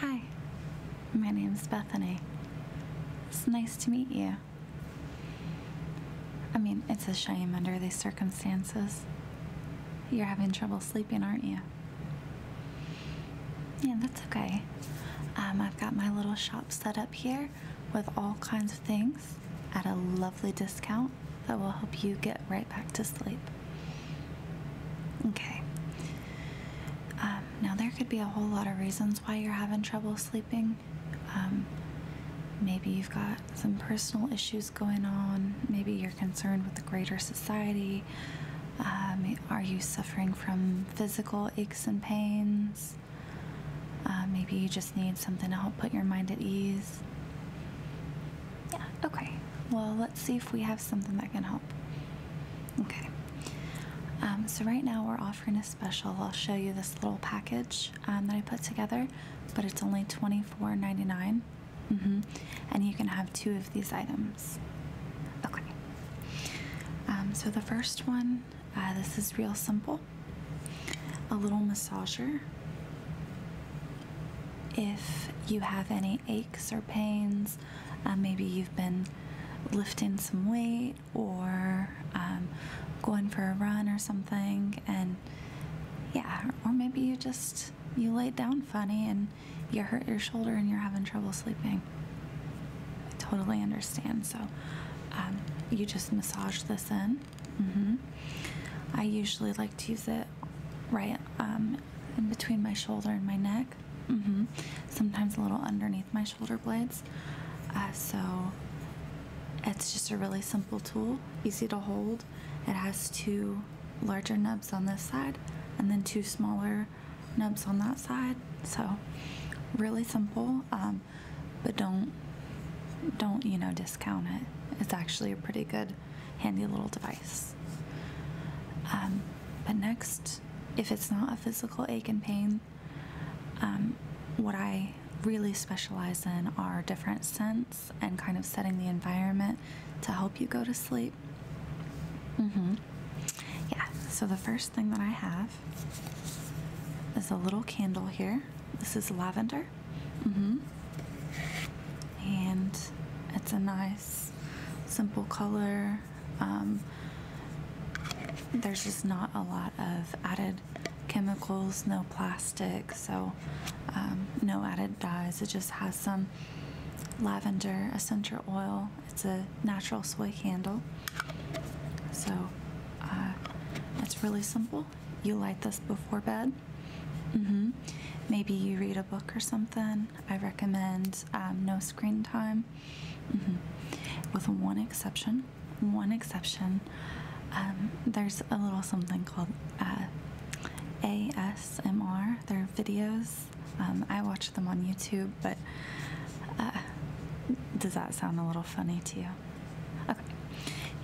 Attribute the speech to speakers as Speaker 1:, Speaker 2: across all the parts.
Speaker 1: Hi, my name's Bethany. It's nice to meet you. I mean, it's a shame under these circumstances. You're having trouble sleeping, aren't you? Yeah, that's okay. Um, I've got my little shop set up here with all kinds of things at a lovely discount that will help you get right back to sleep. Okay. Um, now, there could be a whole lot of reasons why you're having trouble sleeping. Um, maybe you've got some personal issues going on, maybe you're concerned with the greater society. Um, are you suffering from physical aches and pains? Uh, maybe you just need something to help put your mind at ease. Yeah, okay. Well, let's see if we have something that can help. Okay. Um, so, right now we're offering a special. I'll show you this little package um, that I put together, but it's only $24.99. Mm-hmm. And you can have two of these items. Okay. Um, so, the first one uh, this is real simple a little massager if you have any aches or pains, um, maybe you've been lifting some weight or um, going for a run or something, and yeah, or maybe you just you laid down funny and you hurt your shoulder and you're having trouble sleeping. I totally understand. So um, you just massage this in Mm -hmm. I usually like to use it right um, in between my shoulder and my neck. Mm -hmm. Sometimes a little underneath my shoulder blades. Uh, so it's just a really simple tool, easy to hold. It has two larger nubs on this side and then two smaller nubs on that side. So really simple, um, but don't don't you know discount it. It's actually a pretty good handy little device. Um, but next, if it's not a physical ache and pain, um, what I really specialize in are different scents and kind of setting the environment to help you go to sleep. Mm-hmm. Yeah, so the first thing that I have is a little candle here. This is lavender Mm -hmm. And it's a nice, simple color. Um, there's just not a lot of added chemicals, no plastic, so um, no added dyes. It just has some lavender essential oil. It's a natural soy candle. So uh, it's really simple. You light this before bed. Mm-hmm. Maybe you read a book or something. I recommend um, no screen time, mm-hmm. with one exception. One exception. Um, there's a little something called uh, ASMR. They're videos. Um, I watch them on YouTube, but uh, does that sound a little funny to you? Okay.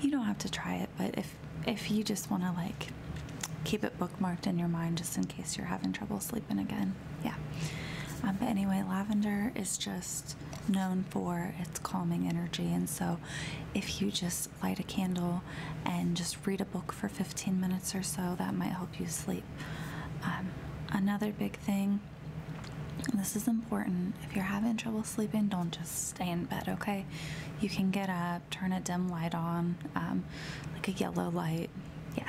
Speaker 1: You don't have to try it, but if if you just want to like keep it bookmarked in your mind just in case you're having trouble sleeping again. Yeah. Um, but anyway, lavender is just known for its calming energy. And so, if you just light a candle and just read a book for 15 minutes or so, that might help you sleep. Um, another big thing, this is important, if you're having trouble sleeping, don't just stay in bed, okay? You can get up, turn a dim light on, um, like a yellow light. Yeah.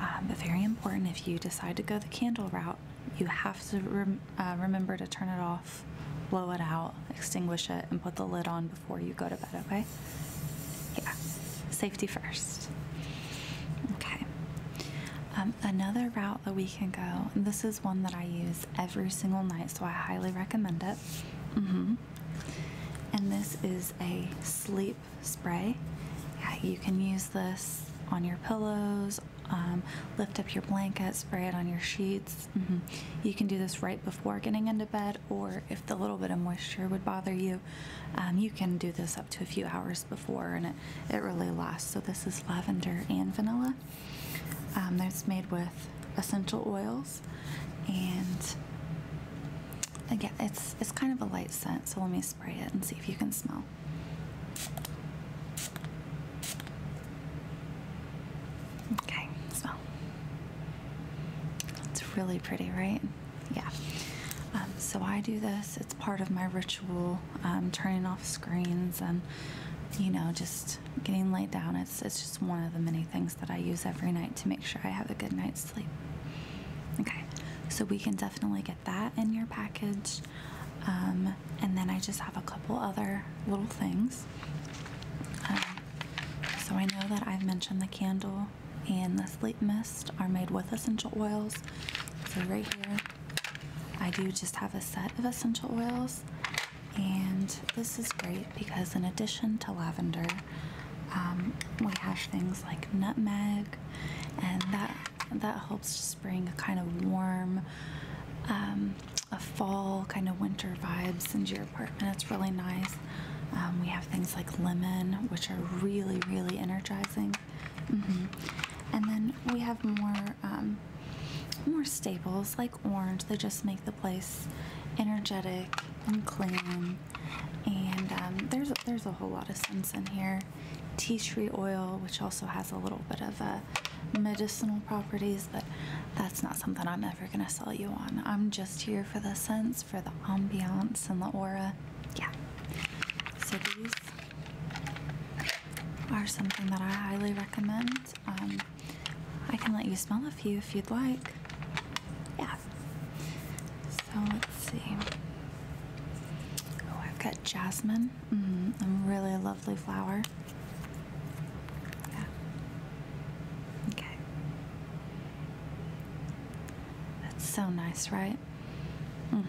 Speaker 1: Um, but very important if you decide to go the candle route, you have to uh, remember to turn it off, blow it out, extinguish it, and put the lid on before you go to bed, okay? Yeah. Safety first. Okay. Um, another route that we can go. This is one that I use every single night, so I highly recommend it. Mm-hmm. And this is a sleep spray. Yeah, you can use this on your pillows, um, lift up your blanket, spray it on your sheets. Mm-hmm. You can do this right before getting into bed, or if the little bit of moisture would bother you, um, you can do this up to a few hours before, and it, it really lasts. So, this is lavender and vanilla. It's um, made with essential oils, and again, it's it's kind of a light scent. So let me spray it and see if you can smell. Okay, smell. It's really pretty, right? Yeah. Um, so I do this. It's part of my ritual um, turning off screens and you know just getting laid down it's it's just one of the many things that I use every night to make sure I have a good night's sleep okay so we can definitely get that in your package um, and then I just have a couple other little things um, so I know that I've mentioned the candle and the sleep mist are made with essential oils so right here I do just have a set of essential oils and this is great because, in addition to lavender, um, we have things like nutmeg, and that that helps bring a kind of warm, um, a fall kind of winter vibes into your apartment. It's really nice. Um, we have things like lemon, which are really really energizing. Mm-hmm. And then we have more more staples like orange. They just make the place energetic and clean. And um, there's there's a whole lot of scents in here. Tea tree oil, which also has a little bit of uh, medicinal properties, but that's not something I'm ever gonna sell you on. I'm just here for the scents, for the ambiance and the aura. Yeah. So these are something that I highly recommend. Um, I can let you smell a few if you'd like. Yeah. So let's see. Oh, I've got jasmine. Mm-hmm. a really lovely flower. Yeah. Okay. That's so nice, right? Mm.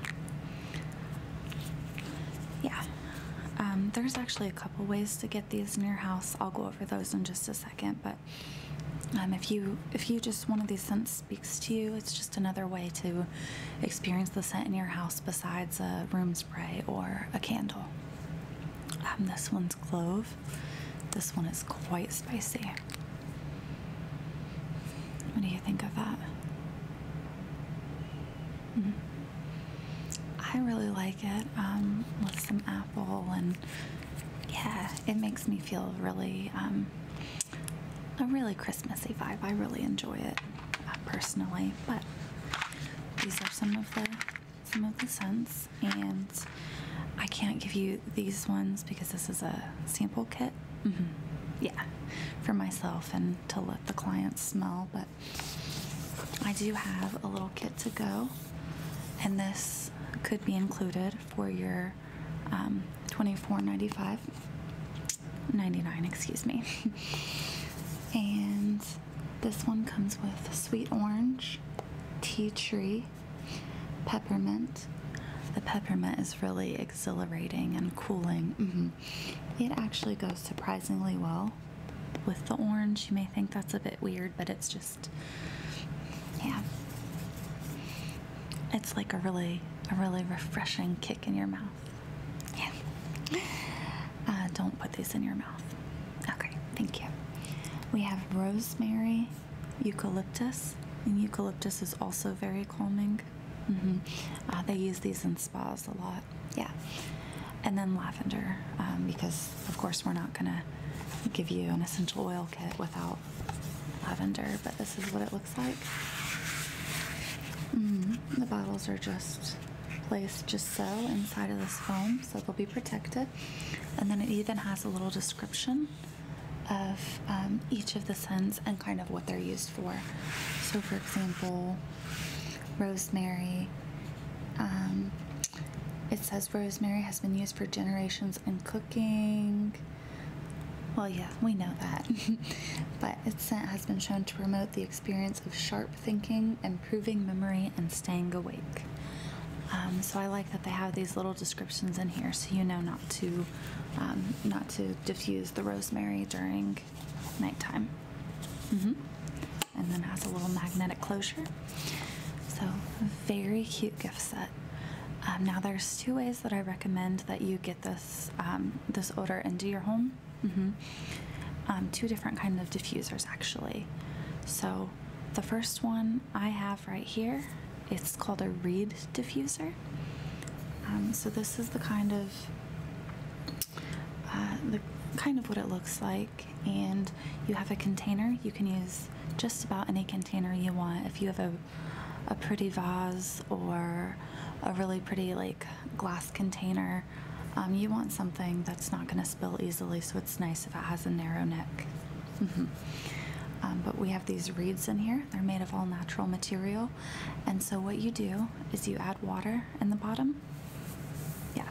Speaker 1: Yeah, um, there's actually a couple ways to get these in your house. I'll go over those in just a second, but um, if you if you just one of these scents speaks to you, it's just another way to experience the scent in your house besides a room spray or a candle. Um, this one's clove. This one is quite spicy. What do you think of that? Mm-hmm. I really like it um, with some apple, and yeah, it makes me feel really um, a really Christmassy vibe. I really enjoy it uh, personally, but these are some of the some of the scents, and I can't give you these ones because this is a sample kit. Mm-hmm. Yeah, for myself and to let the clients smell, but I do have a little kit to go, and this could be included for your um, 24 95 99, excuse me. and this one comes with sweet orange, tea tree, peppermint. The peppermint is really exhilarating and cooling. Mm-hmm it actually goes surprisingly well with the orange. You may think that's a bit weird, but it's just, yeah. It's like a really, a really refreshing kick in your mouth. Yeah. Uh, don't put this in your mouth. Okay, thank you. We have rosemary, eucalyptus, and eucalyptus is also very calming. Mm -hmm. they use these in spas a lot. Yeah. And then lavender, um, because of course we're not gonna give you an essential oil kit without lavender, but this is what it looks like. Mm-hmm. the bottles are just placed just so inside of this foam, so they'll be protected. And then it even has a little description of um, each of the scents and kind of what they're used for. So, for example, rosemary. Um, it says rosemary has been used for generations in cooking. Well, yeah, we know that. but its scent has been shown to promote the experience of sharp thinking, improving memory, and staying awake. Um, so I like that they have these little descriptions in here, so you know not to um, not to diffuse the rosemary during nighttime. Mm -hmm. And then has a little magnetic closure. So very cute gift set. Um, now there's two ways that I recommend that you get this um, this odor into your home. Mm -hmm. two different kind of diffusers actually. So the first one I have right here, it's called a reed diffuser. Um, so this is the kind of uh, the kind of what it looks like and you have a container you can use just about any container you want if you have a, a pretty vase or a really pretty like glass container um, you want something that's not going to spill easily so it's nice if it has a narrow neck um, but we have these reeds in here they're made of all natural material and so what you do is you add water in the bottom. Yeah.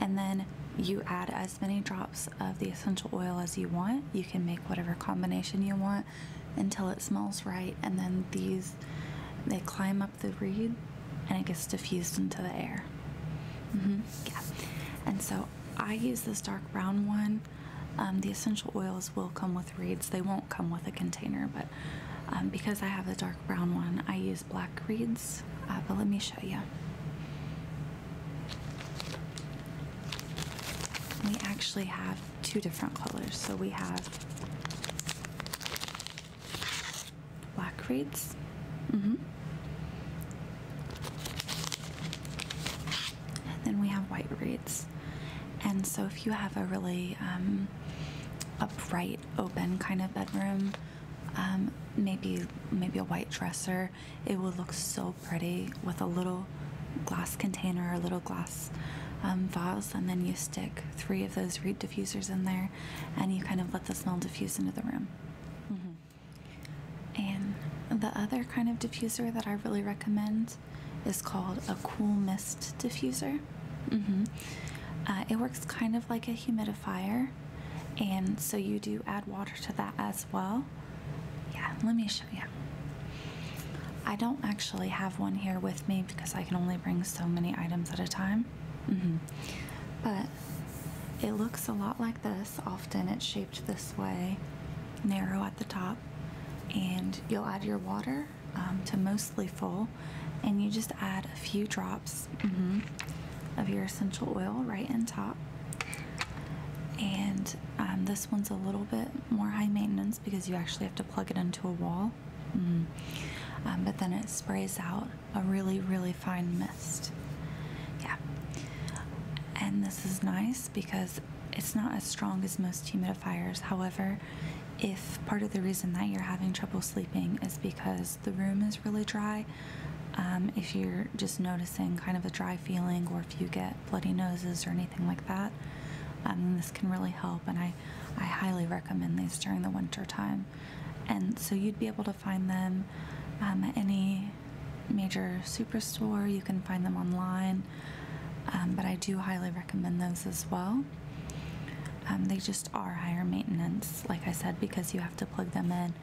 Speaker 1: And then you add as many drops of the essential oil as you want. You can make whatever combination you want until it smells right. And then these, they climb up the reed and it gets diffused into the air. -hmm. Yeah. And so I use this dark brown one. Um, the essential oils will come with reeds. They won't come with a container, but um, because I have the dark brown one, I use black reeds. Uh, but let me show you. We actually have two different colors. So we have black reeds. Mm -hmm. then we have white reeds. And so, if you have a really um, upright, open kind of bedroom. Um, maybe maybe a white dresser. It would look so pretty with a little glass container, or a little glass um, vase, and then you stick three of those reed diffusers in there, and you kind of let the smell diffuse into the room. Mm-hmm. And the other kind of diffuser that I really recommend is called a cool mist diffuser. Mm-hmm. Uh, it works kind of like a humidifier, and so you do add water to that as well. Yeah, let me show you. I don't actually have one here with me because I can only bring so many items at a time. Mm-hmm. But it looks a lot like this. Often it's shaped this way, narrow at the top, and you'll add your water um, to mostly full, and you just add a few drops mm-hmm. of your essential oil right in top. And um, this one's a little bit more high maintenance because you actually have to plug it into a wall. Mm-hmm. Um, but then it sprays out a really, really fine mist. Yeah. And this is nice because it's not as strong as most humidifiers modifiers. However, if part of the reason that you're having trouble sleeping is because the room is really dry, um, if you're just noticing kind of a dry feeling or if you get bloody noses or anything like that, um, this can really help. And I, I highly recommend these during the winter time. And so you'd be able to find them um, at any major superstore. You can find them online. Um, but I do highly recommend those as well. Um, they just are higher maintenance, like I said, because you have to plug them in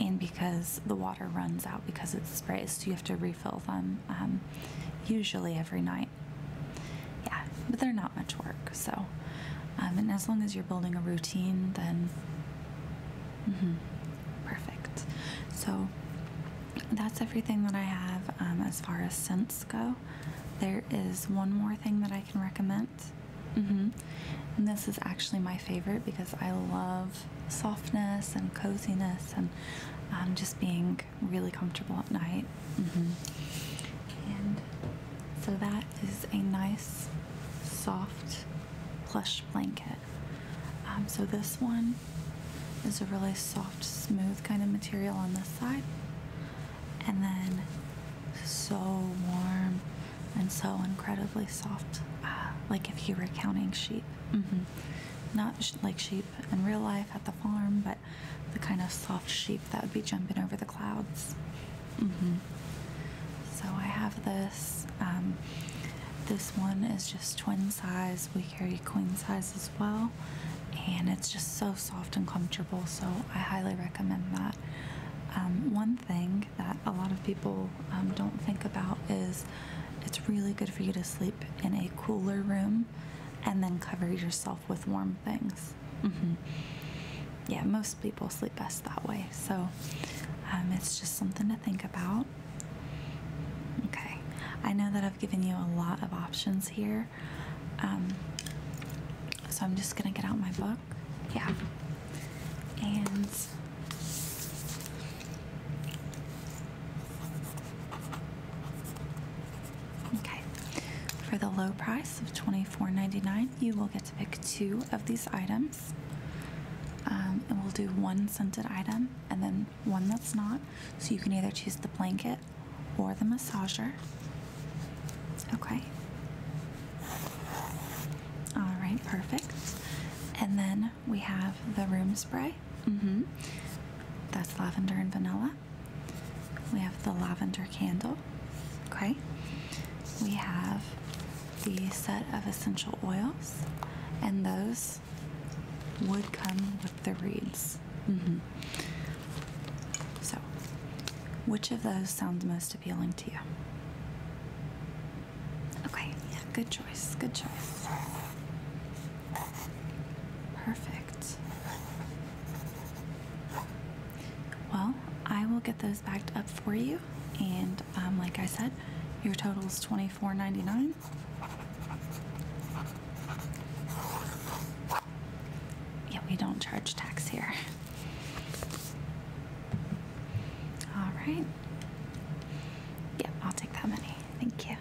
Speaker 1: and because the water runs out because it's sprays, so you have to refill them um, usually every night. Yeah, but they're not much work, so. and as long as you're building a routine, then mm -hmm, perfect. So that's everything that I have um, as far as scents go. There is one more thing that I can recommend. Mm-hmm. this is actually my favorite because I love softness and coziness and um, just being really comfortable at night. Mm-hmm. And so that is a nice, soft, plush blanket. Um, so this one there's a really soft, smooth kind of material on this side, and then so warm and so incredibly soft, uh, like if you were counting sheep. Mm-hmm. Not like sheep in real life at the farm, but the kind of soft sheep that would be jumping over the clouds. Mm-hmm. So I have this. Um, this one is just twin size we carry queen size as well and it's just so soft and comfortable so i highly recommend that um, one thing that a lot of people um, don't think about is it's really good for you to sleep in a cooler room and then cover yourself with warm things mm-hmm. yeah most people sleep best that way so um, it's just something to think about Okay, I know that I've given you a lot of options here. Um, so I'm just gonna get out my book. Yeah. And okay, for the low price of $24.99, you will get to pick two of these items. Um, and we'll do one scented item and then one that's not. So you can either choose the blanket or the massager. Okay. All right, perfect. And then we have the room spray. Mm-hmm. That's lavender and vanilla. We have the lavender candle. Okay. We have the set of essential oils, and those would come with the reeds. Mm-hmm. So, which of those sounds most appealing to you? Okay, good choice, good choice. Perfect. Well, I will get those backed up for you, and um, like I said, your total is $25. $24.99. Yeah, we don't charge tax here. All right. Yep, I'll take that many. Thank you.